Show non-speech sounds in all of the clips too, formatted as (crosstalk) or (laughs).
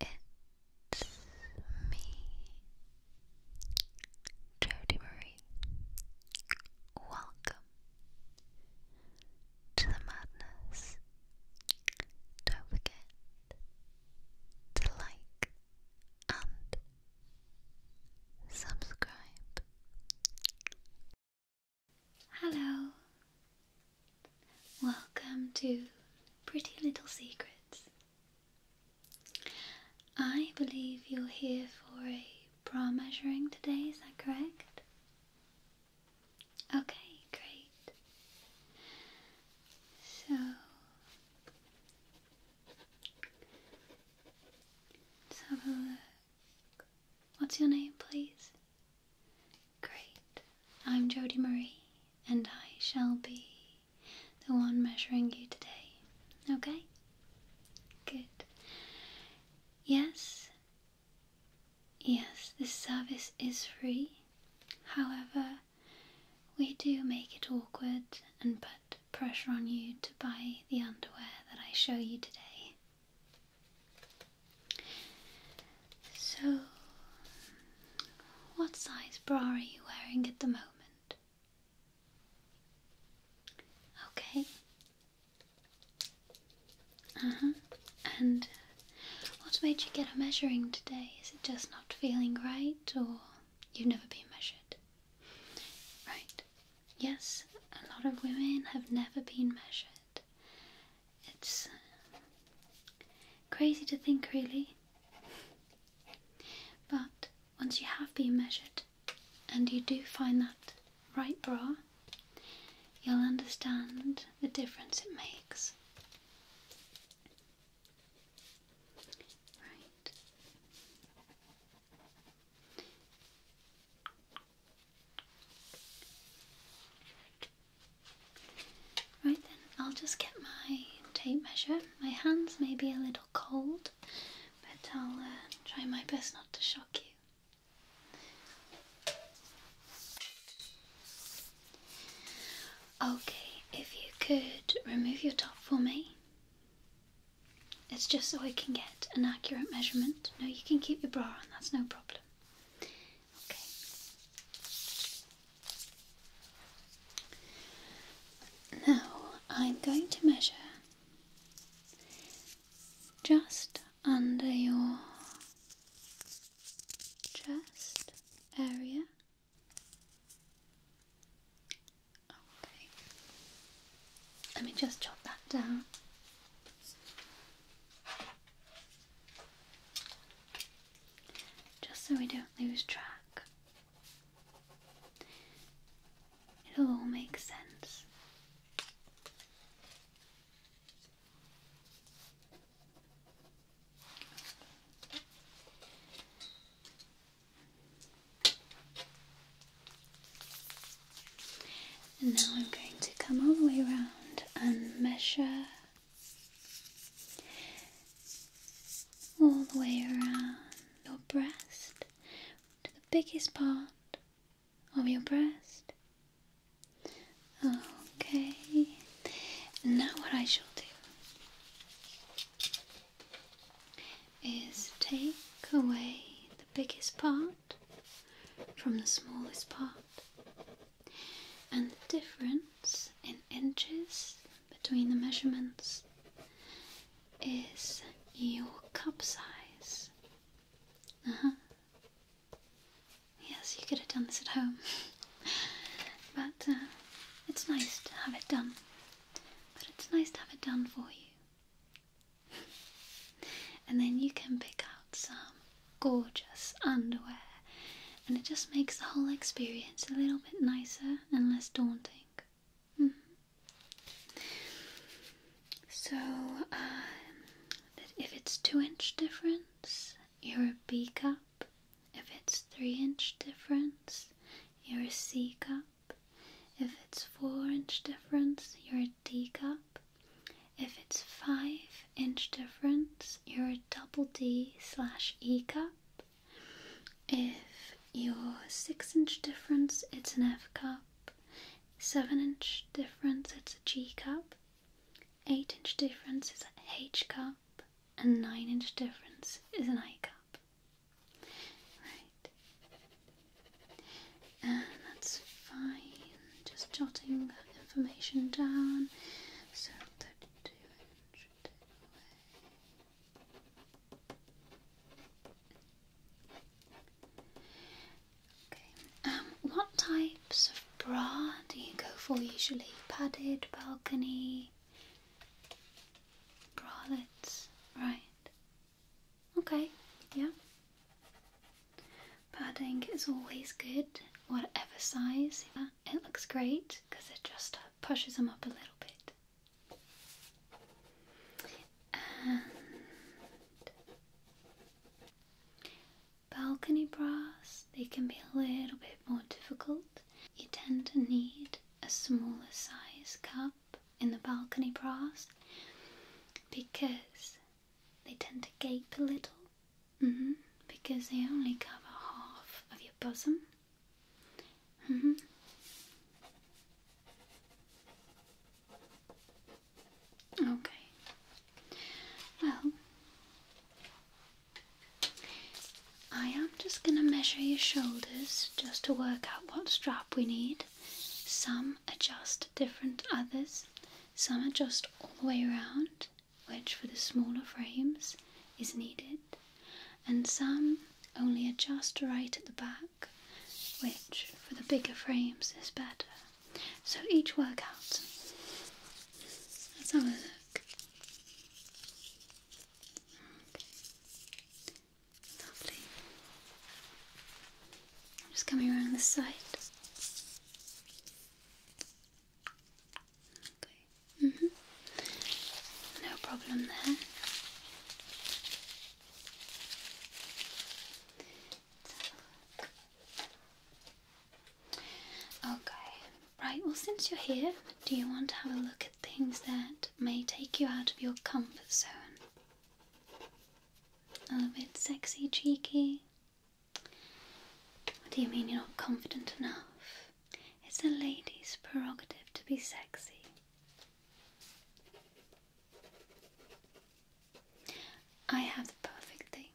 It's me, Jody Marie. Welcome to the madness. Don't forget to like and subscribe. Hello, Welcome to Pretty Little Secrets. I believe you're here for a bra measuring today, is that correct? Okay, great. So, let's have a look. What's your name, please? Great. I'm Jody Marie, and I shall be the one measuring you today. Okay? Good. Yes. Yes, this service is free. However, we do make it awkward and put pressure on you to buy the underwear that I show you today. So, what size bra are you wearing at the moment? Okay. Uh huh. And what made you get a measuring today? Is it just not feeling right, or you've never been measured? Right. Yes, a lot of women have never been measured. It's uh, crazy to think, really. But once you have been measured and you do find that right bra, you'll understand the difference it makes. Right. Right then, I'll just get my tape measure. My hands may be a little cold, but I'll uh, try my best not to shock you. Okay, if you could remove your top for me. It's just so I can get an accurate measurement. No, you can keep your bra on, that's no problem. Okay. Now I'm going to measure just under your chest area. Okay. Let me just jot that down just so we don't lose track. It'll all make sense. And now I'm going to come all the way around and measure all the way around your breast to the biggest part of your breast. Okay, now what I shall do is take away the biggest part from the smallest part and the difference in inches between the measurements is your cup size. Uh huh. Yes, you could have done this at home, (laughs) but uh, it's nice to have it done. But it's nice to have it done for you. (laughs) and then you can pick out some gorgeous underwear and it just makes the whole experience a little bit nicer and less daunting. Mm-hmm. So, um, if it's two inch difference, you're a B cup. If it's three inch difference, you're a C cup. If it's four inch difference, you're a D cup. If it's 5 inch difference, you're a double D slash E cup. If your 6 inch difference, it's an F cup, 7 inch difference, it's a G cup, 8 inch difference is an H cup, and 9 inch difference is an I cup. Right. And that's fine. Just jotting information down. Okay. Um, what types of bra do you go for usually? Padded, balcony, bralettes, right? Okay, yeah. Padding is always good, whatever size. It looks great because it just pushes them up a little bit. balcony bras, they can be a little bit more difficult. You tend to need a smaller size cup in the balcony bras because they tend to gape a little mm-hmm. because they only cover half of your bosom. Mm -hmm. Okay. Well, I am just going to measure your shoulders just to work out what strap we need. Some adjust different others, some adjust all the way around which for the smaller frames is needed, and some only adjust right at the back, which for the bigger frames is better. So each workout. Let's have a look. Lovely. I'm just coming around the side. Okay. Mm-hmm. No problem there. Okay. Right, well, since you're here, do you want to have a look at things that may take you out of your comfort zone? A bit sexy, cheeky? What do you mean you're not confident enough? It's a lady's prerogative to be sexy. I have the perfect thing.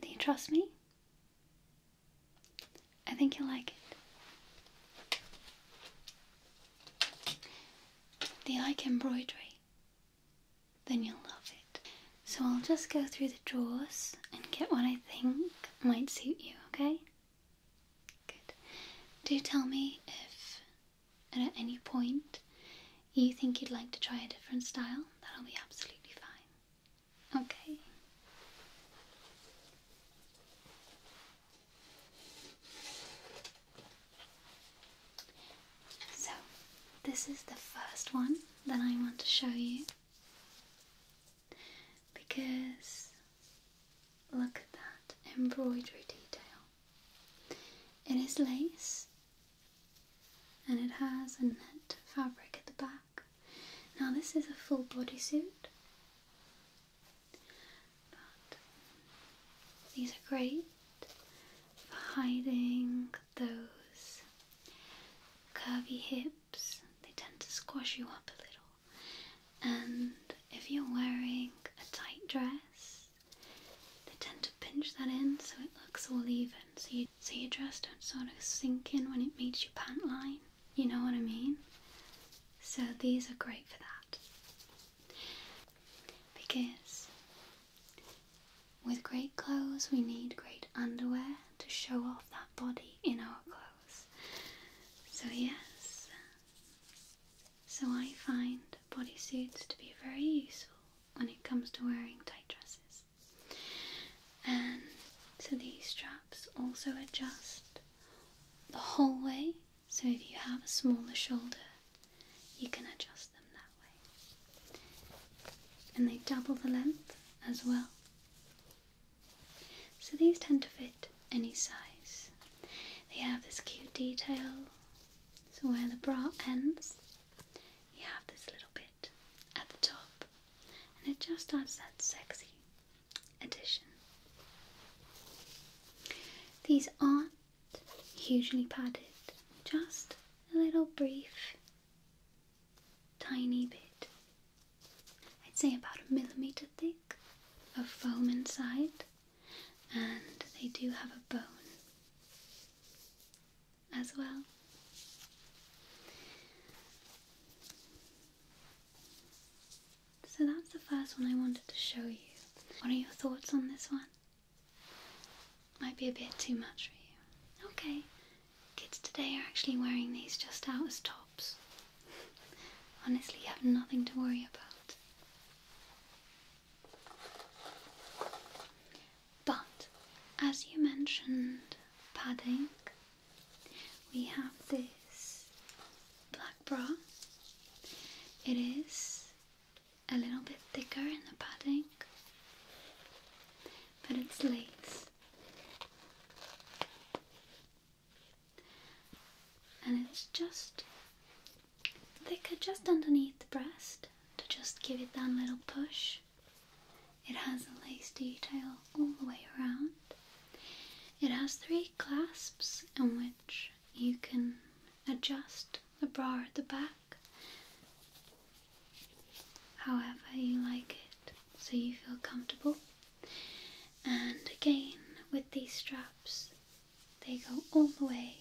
Do you trust me? I think you'll like it. Do you like embroidery? then you'll love it. So I'll just go through the drawers and get what I think might suit you, okay? Good. Do tell me if at any point you think you'd like to try a different style. That'll be absolutely fine. Okay. So, this is the first one that I want to show you because look at that embroidery detail. It is lace and it has a net fabric at the back. Now, this is a full bodysuit, but these are great for hiding those curvy hips, they tend to squash you up a little. And if you're wearing a tight dress, they tend to pinch that in so it looks all even. So, you, so your dress don't sort of sink in when it meets your pant line. You know what I mean? So these are great for that. Because with great clothes, we need great underwear to show off that body in our clothes. So, yes, so I find bodysuits to be very useful when it comes to wearing tight dresses. And so these straps also adjust the whole way, so if you have a smaller shoulder, you can adjust them and they double the length as well. So these tend to fit any size. They have this cute detail. So where the bra ends, you have this little bit at the top. And it just adds that sexy addition. These aren't hugely padded, just a little brief tiny bit, I'd say about a millimeter thick, of foam inside, and they do have a bone as well. So that's the first one I wanted to show you. What are your thoughts on this one? might be a bit too much for you. Okay, kids today are actually wearing these just out as tops. (laughs) Honestly, you have nothing to worry about. But as you mentioned, padding, we have this black bra. It is a little bit thicker in the padding, but it's lace. And it's just thicker just underneath the breast to just give it that little push. It has a lace detail all the way around. It has three clasps in which you can adjust the bra at the back however you like it, so you feel comfortable. And again, with these straps, they go all the way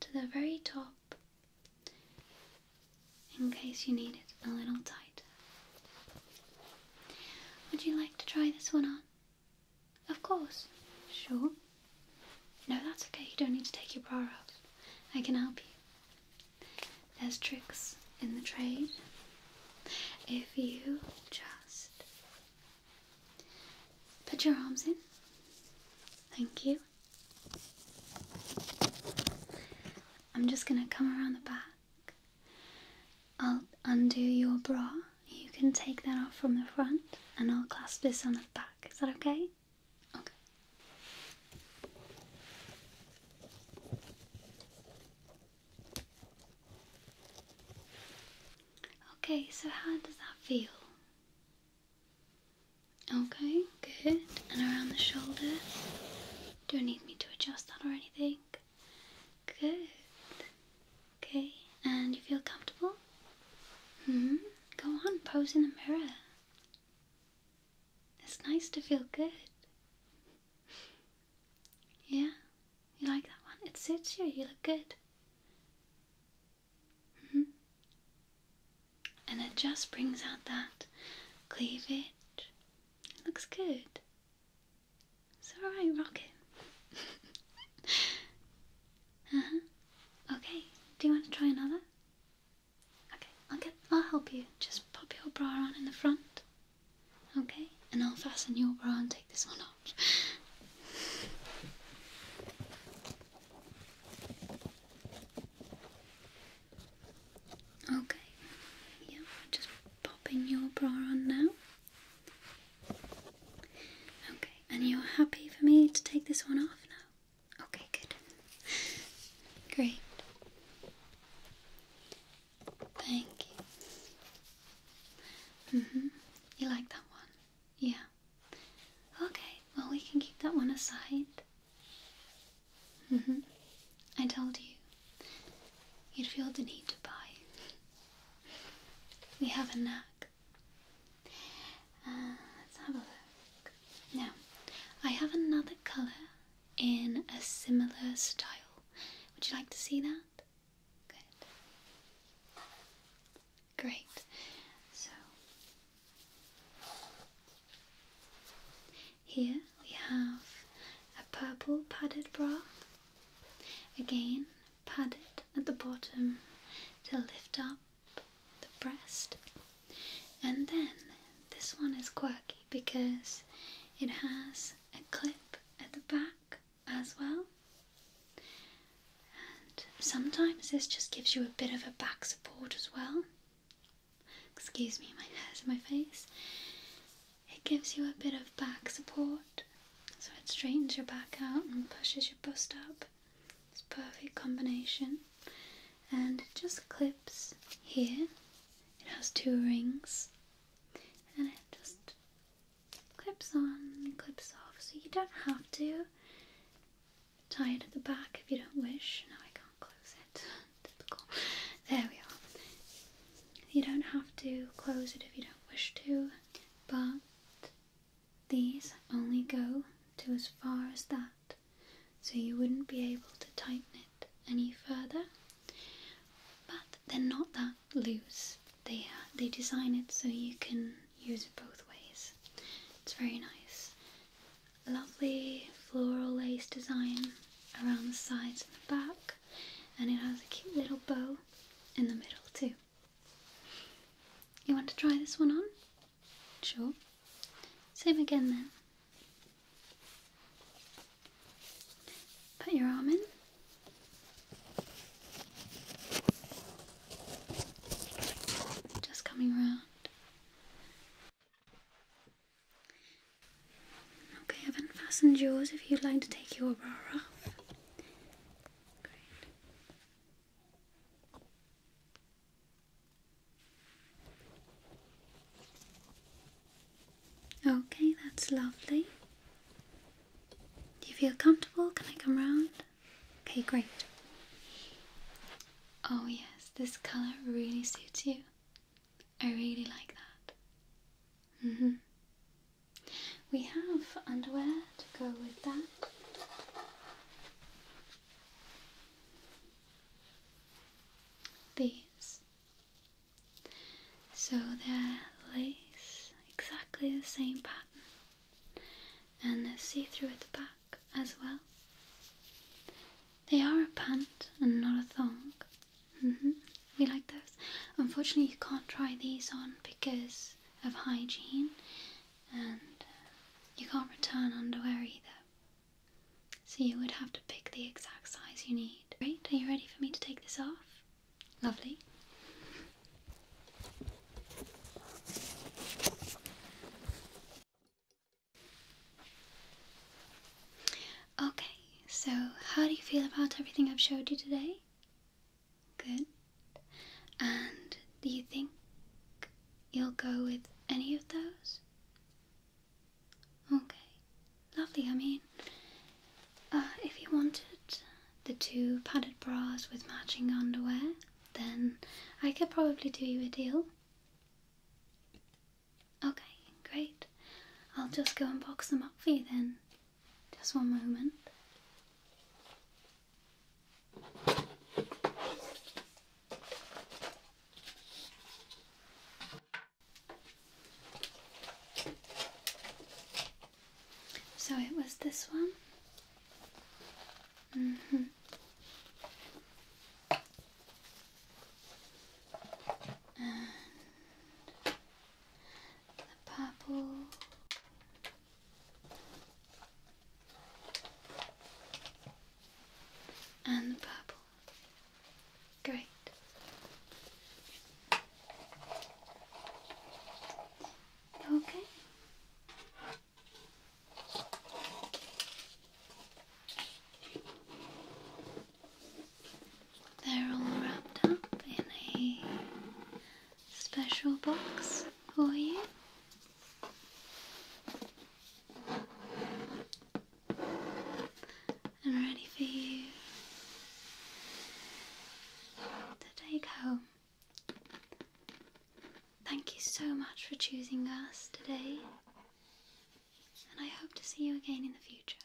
to the very top in case you need it a little tighter. Would you like to try this one on? Of course. Sure. No, that's okay. You don't need to take your bra off. I can help you. There's tricks in the trade if you just put your arms in. Thank you. I'm just going to come around the back. I'll undo your bra. You can take that off from the front and I'll clasp this on the back. Is that okay? Okay. Okay, so how does that feel? Okay, good. And around the shoulders? Don't need me to adjust that or anything. Good. Okay, and you feel comfortable? Hmm. Go on, pose in the mirror. It's nice to feel good. Yeah, you like that one? It suits you, you look good. -hmm. And it just brings out that cleavage. It looks good. It's alright, rock it. (laughs) uh huh. Okay, do you want to try another? Okay, I'll get I'll help you. Just pop your bra on in the front. Okay? And I'll fasten your bra and take this one off. Okay. Yeah, just popping your bra on now. Okay, and you're happy for me to take this one off now? Okay, good. Great. Thank you. Mhm. You like that one? Yeah. Okay. Well, we can keep that one aside. Mhm. I told you you'd feel the need to buy. We have a knack. Uh, let's have a look. Now, I have another colour in a similar style. Would you like to see that? Good. Great. So, here we have a purple padded bra. Again, padded at the bottom to lift up the breast. And then this one is quirky because it has a clip at the back as well. And sometimes this just gives you a bit of a back support as well. Excuse me, my hair's my face. It gives you a bit of back support, so it straightens your back out and pushes your bust up. It's a perfect combination and it just clips here. It has two rings and it just clips on, clips off, so you don't have to tie it at the back if you don't wish. No, I can't close it. (laughs) Typical. There we are. You don't have to close it if you don't wish to, but these only go to as far as that so you wouldn't be able to tighten it any further. But they're not that loose. They uh, they design it so you can use it both ways. It's very nice. Lovely floral lace design around the sides and the back, and it has a cute little bow in the middle too. You want to try this one on? Sure. Same again then. Put your arm in. Just coming round. Okay, I haven't fastened yours if you'd like to take your bra off. Great. Okay, that's lovely. Do you feel comfortable? Can I come round? Okay, great. Oh, yes, this color really suits you. I really like that. Mm hmm. We have underwear to go with that these. So they're lace, exactly the same pattern, and they're see through at the back as well. They are a pant and not a thong. We mm-hmm. like those. Unfortunately, you can't try these on because of hygiene, and uh, you can't return underwear either. So you would have to pick the exact size you need. Great, are you ready for me to take this off? Lovely. Okay, so how do you feel about everything I've showed you today? Good. And do you think you'll go with any of those? Okay, lovely. I mean, uh, if you wanted the two padded bras with matching underwear, then I could probably do you a deal. Okay, great. I'll just go and box them up for you then. Just one moment. So it was this one? Mm-hmm. the purple. And the purple. Great. Okay. They're all wrapped up in a special box for you and ready for you to take home. Thank you so much for choosing us today, and I hope to see you again in the future.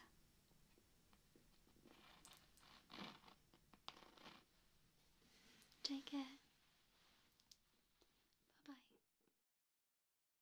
Take care. Bye bye.